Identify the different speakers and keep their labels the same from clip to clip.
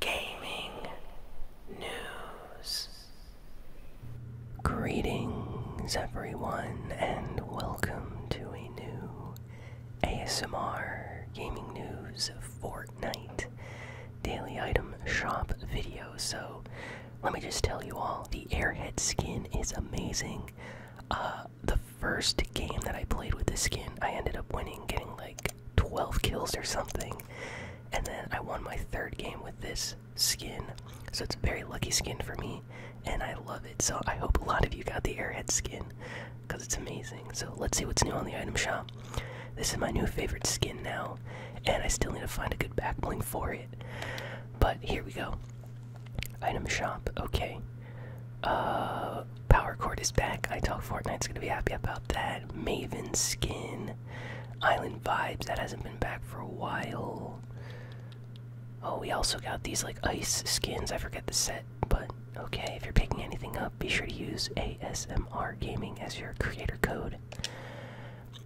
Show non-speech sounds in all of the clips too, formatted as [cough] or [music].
Speaker 1: gaming news. Greetings, everyone, and welcome to a new ASMR Gaming News Fortnite Daily Item Shop video. So, let me just tell you all the Airhead skin is amazing. Uh, the first game that I played with this skin, I ended up winning, getting like 12 kills or something. And then I won my third game with this skin. So it's a very lucky skin for me, and I love it. So I hope a lot of you got the Airhead skin because it's amazing. So let's see what's new on the item shop. This is my new favorite skin now, and I still need to find a good back for it. But here we go. Item shop, okay. Uh, power cord is back. I talk Fortnite's gonna be happy about that. Maven skin. Island Vibes, that hasn't been back for a while. Oh, we also got these like ice skins. I forget the set, but okay, if you're picking anything up, be sure to use ASMR Gaming as your creator code.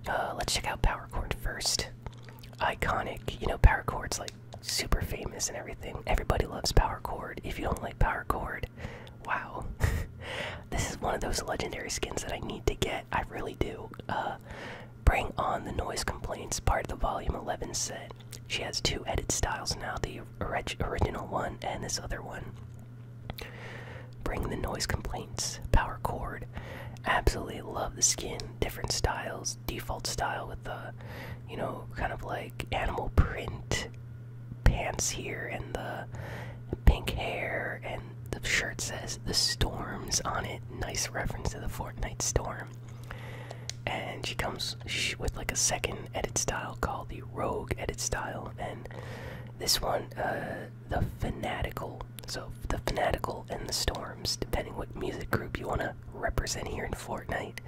Speaker 1: Uh, let's check out Power Chord first. Iconic, you know, Power Chord's like super famous and everything. Everybody loves Power Chord. If you don't like Power Chord, Wow. [laughs] this is one of those legendary skins that I need to get. I really do. Uh, bring on the noise complaints, part of the Volume 11 set. She has two edit styles now the original one and this other one. Bring the noise complaints, power chord. Absolutely love the skin. Different styles, default style with the, you know, kind of like animal print pants here and the pink hair and the shirt says the storms on it nice reference to the fortnite storm and she comes with like a second edit style called the rogue edit style and this one uh, the fanatical so the fanatical and the storms depending what music group you want to represent here in fortnite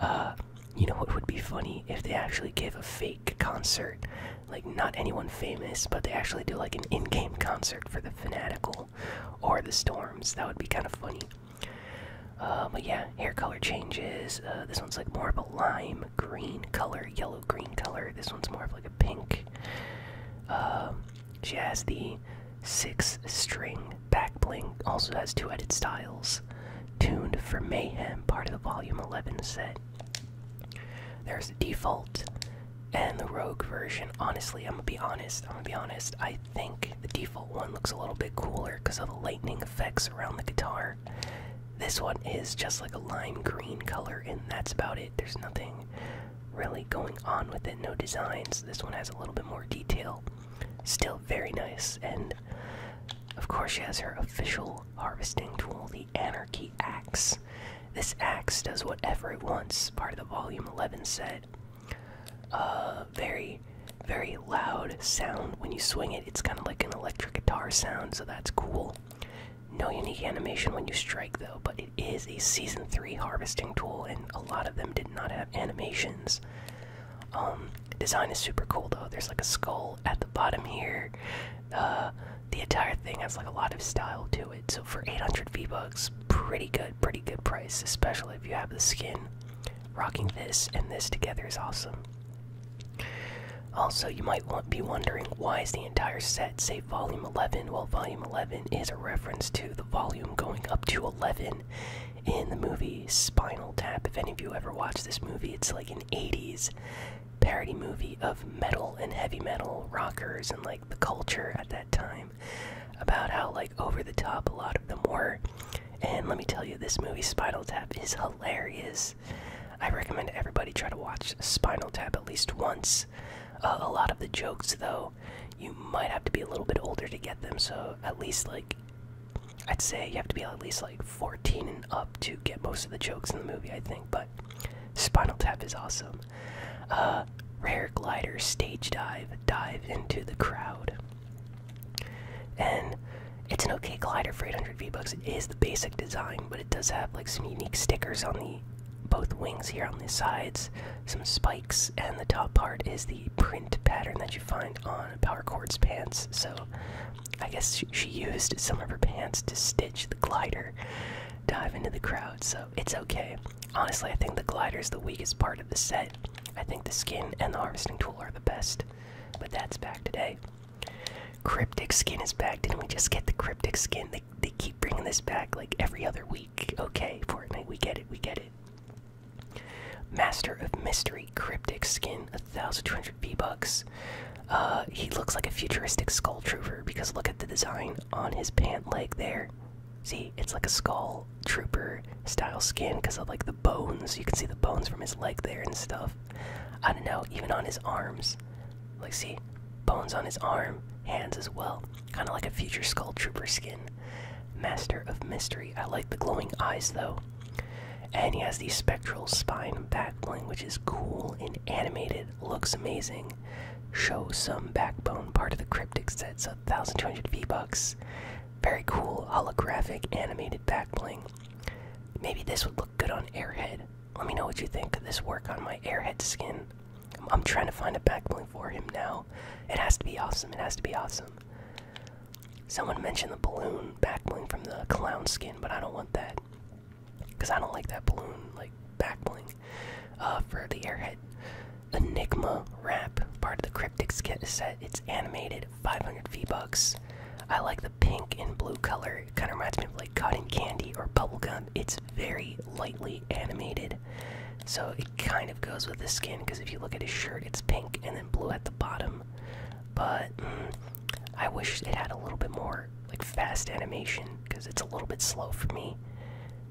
Speaker 1: uh, you know, what would be funny if they actually give a fake concert, like not anyone famous, but they actually do like an in-game concert for the Fanatical or the Storms. That would be kind of funny. Uh, but yeah, hair color changes. Uh, this one's like more of a lime green color, yellow green color. This one's more of like a pink. Um, she has the six string backbling. Also has two headed styles tuned for mayhem, part of the Volume 11 set. There's the default and the rogue version. Honestly, I'm gonna be honest. I'm gonna be honest. I think the default one looks a little bit cooler because of the lightning effects around the guitar. This one is just like a lime green color, and that's about it. There's nothing really going on with it, no designs. This one has a little bit more detail. Still very nice, and of course, she has her official harvesting tool, the Anarchy Axe. This axe does whatever it wants, part of the Volume 11 set. Uh, very, very loud sound when you swing it. It's kind of like an electric guitar sound, so that's cool. No unique animation when you strike, though, but it is a Season 3 harvesting tool, and a lot of them did not have animations. Um, Design is super cool though. There's like a skull at the bottom here. Uh, the entire thing has like a lot of style to it. So for 800 V bucks, pretty good, pretty good price, especially if you have the skin. Rocking this and this together is awesome. Also, you might be wondering why is the entire set say volume 11? Well, volume 11 is a reference to the volume going up to 11 in the movie Spinal Tap. If any of you ever watched this movie, it's like 80s parody movie of metal and heavy metal rockers and like the culture at that time about how like over the top a lot of them were. And let me tell you, this movie Spinal Tap is hilarious. I recommend everybody try to watch Spinal Tap at least once. Uh, a lot of the jokes, though, you might have to be a little bit older to get them, so at least like I'd say you have to be at least like 14 and up to get most of the jokes in the movie, I think. But Spinal Tap is awesome. Uh, rare glider stage dive, dive into the crowd. And it's an okay glider for 800 V-Bucks. It is the basic design, but it does have like some unique stickers on the both wings here on the sides, some spikes, and the top part is the print pattern that you find on power cords pants. So I guess she, used some of her pants to stitch the glider dive into the crowd, so it's okay. Honestly, I think the glider is the weakest part of the set. I think the skin and the harvesting tool are the best, but that's back today. Cryptic skin is back. Didn't we just get the cryptic skin? They, they keep bringing this back like every other week. Okay, Fortnite, we get it, we get it. Master of Mystery Cryptic Skin 1,200 V-Bucks. Uh, he looks like a futuristic skull trooper because look at the design on his pant leg there. See, it's like a skull trooper style skin because of like the bones. You can see the bones from his leg there and stuff. I don't know, even on his arms. Like, see, bones on his arm, hands as well. Kind of like a future skull trooper skin. Master of mystery. I like the glowing eyes though. And he has the spectral spine backbling, which is cool and animated, looks amazing. Show some backbone, part of the cryptic set, so 1200 V-Bucks. Very cool, holographic, animated backbling. Maybe this would look good on Airhead. Let me know what you think. Could this work on my Airhead skin? I'm, trying to find a backbling for him now. It has to be awesome, it has to be awesome. Someone mentioned the balloon back bling from the clown skin, but I don't want that. Because I don't like that balloon, like, back bling. Uh, for the airhead. Enigma Wrap, part of the Cryptic set. It's animated, 500 V-Bucks. I like the pink and blue color. It kind of reminds me of, like, cotton candy or bubble gum. It's very lightly animated. So it kind of goes with the skin, because if you look at his shirt, it's pink and then blue at the bottom but mm-hmm. I wish it had a little bit more like fast animation because it's a little bit slow for me.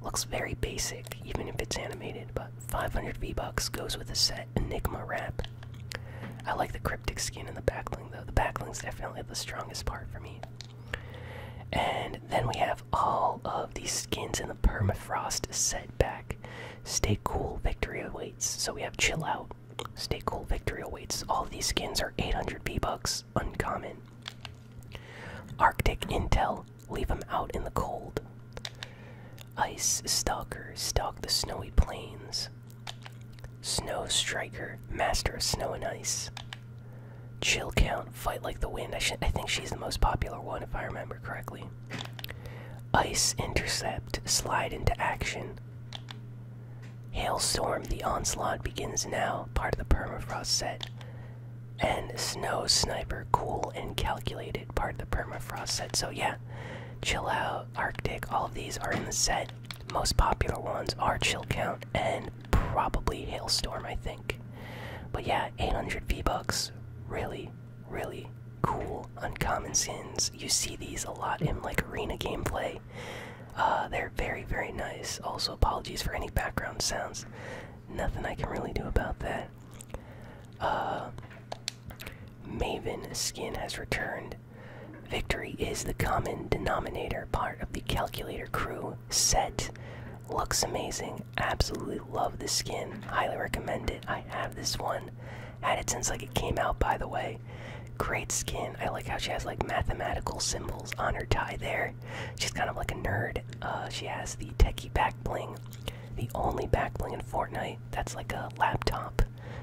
Speaker 1: Looks very basic, even if it's animated. But 500 V bucks goes with a set Enigma wrap. I like the cryptic skin and the backling though. The backling's definitely the strongest part for me. And then we have all of these skins in the permafrost set back. Stay cool, victory awaits. So we have chill out, Stay cool, victory awaits. All these skins are 800 V-Bucks, uncommon. Arctic Intel, leave them out in the cold. Ice Stalker, stalk the snowy plains. Snow Striker, master of snow and ice. Chill Count, fight like the wind. I think she's the most popular one if I remember correctly. Ice Intercept, slide into action. Hailstorm, the onslaught begins now, part of the permafrost set. And Snow Sniper, cool and calculated, part of the permafrost set. So, yeah, Chill Out, Arctic, all of these are in the set. Most popular ones are Chill Count and probably Hailstorm, I think. But yeah, 800 V bucks, really really cool uncommon skins. You see these a lot in like arena gameplay. Uh, they're very, very nice. Also, apologies for any background sounds. Nothing I can really do about that. Uh, Maven skin has returned. Victory is the common denominator part of the calculator crew set. Looks amazing. Absolutely love this skin. Highly recommend it. I have this one. Had it since like it came out, by the way. Great skin. I like how she has like mathematical symbols on her tie there. She's kind of like a nerd. Uh, she has the techie back bling, the only back bling in Fortnite that's like a laptop.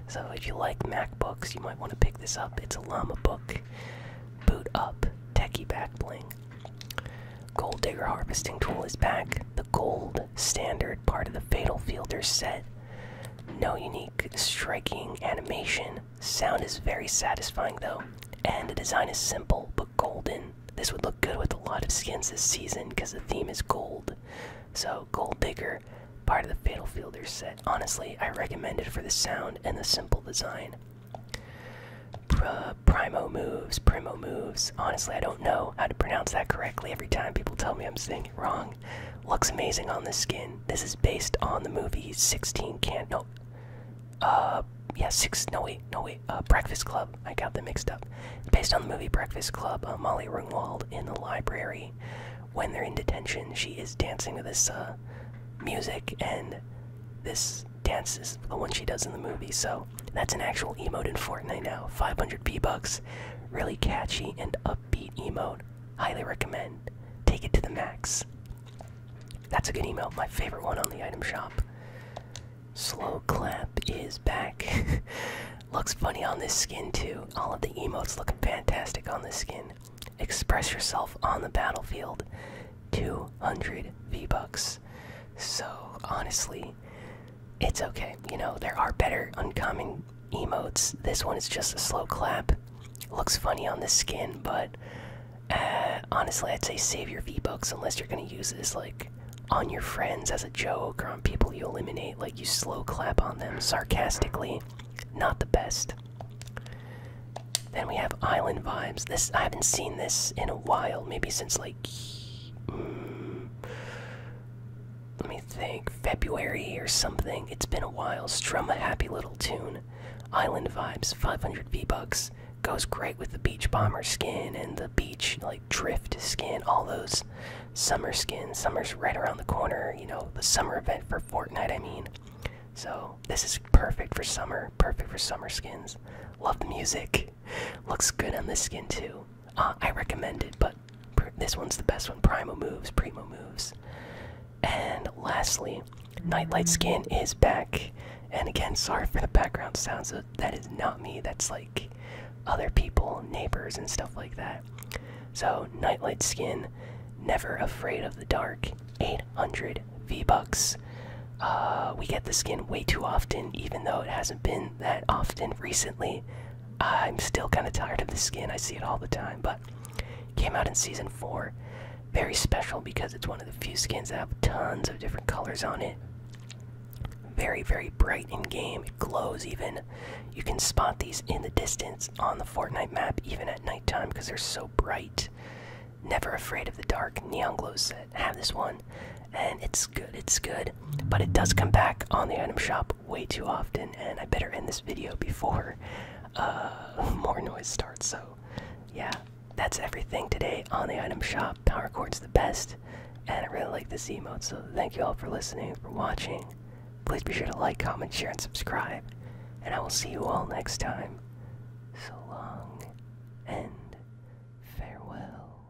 Speaker 1: So if you like MacBooks, you might want to pick this up. It's a llama book. Boot up, techie back bling. Gold digger harvesting tool is back. The gold standard part of the Fatal Fielder set. No unique striking animation. Sound is very satisfying though, and the design is simple but golden. This would look good with a lot of skins this season because the theme is gold. So, Gold Digger, part of the Fatal Fielder set. Honestly, I recommend it for the sound and the simple design. primo moves, primo moves. Honestly, I don't know how to pronounce that correctly every time people tell me I'm saying it wrong. Looks amazing on the skin. This is based on the movie 16 Can No. Uh, yeah, six. No wait, no wait. Uh, Breakfast Club. I got them mixed up. based on the movie Breakfast Club. Uh, Molly Ringwald in the library. When they're in detention, she is dancing to this uh, music, and this dance is the one she does in the movie. So that's an actual emote in Fortnite now. 500 B bucks Really catchy and upbeat emote. Highly recommend. Take it to the max. That's a good emote. My favorite one on the item shop. Slow clap is back. [laughs] Looks funny on this skin too. All of the emotes look fantastic on this skin. Express yourself on the battlefield. 200 V-Bucks. So honestly, it's okay. You know, there are better uncommon emotes. This one is just a slow clap. Looks funny on the skin, but uh, honestly, I'd say save your V bucks unless you're gonna use this like on your friends as a joke or on people you eliminate. Like you slow clap on them sarcastically. Not the best. Then we have Island Vibes. This I haven't seen this in a while. Maybe since like. Mm, let me think, February or something. It's been a while. Strum a happy little tune. Island Vibes, 500 V-Bucks. Goes great with the Beach Bomber skin and the Beach, like, Drift skin. All those summer skins. Summer's right around the corner, you know, the summer event for Fortnite, I mean. So, this is perfect for summer. Perfect for summer skins. Love the music. [laughs] Looks good on this skin, too. Uh, I recommend it, but this one's the best one. Primo moves, primo moves. And lastly, Nightlight Skin is back. And again, sorry for the background sounds. That is not me. That's like other people, neighbors, and stuff like that. So, Nightlight Skin, Never Afraid of the Dark, 800 V-Bucks. Uh, we get the skin way too often, even though it hasn't been that often recently. I'm still kind of tired of the skin. I see it all the time, but came out in season four. Very special because it's one of the few skins that have tons of different colors on it. Very, very bright in game. It glows even. You can spot these in the distance on the Fortnite map, even at nighttime, because they're so bright. Never afraid of the dark. Neon glows set. Have this one, and it's good. It's good, but it does come back on the item shop way too often, and I better end this video before uh, [laughs] more noise starts. So, yeah, that's everything today on the item shop. Power Chord's the best, and I really like this emote. So, thank you all for listening, for watching. Please be sure to like, comment, share, and subscribe. And I will see you all next time. So long and farewell.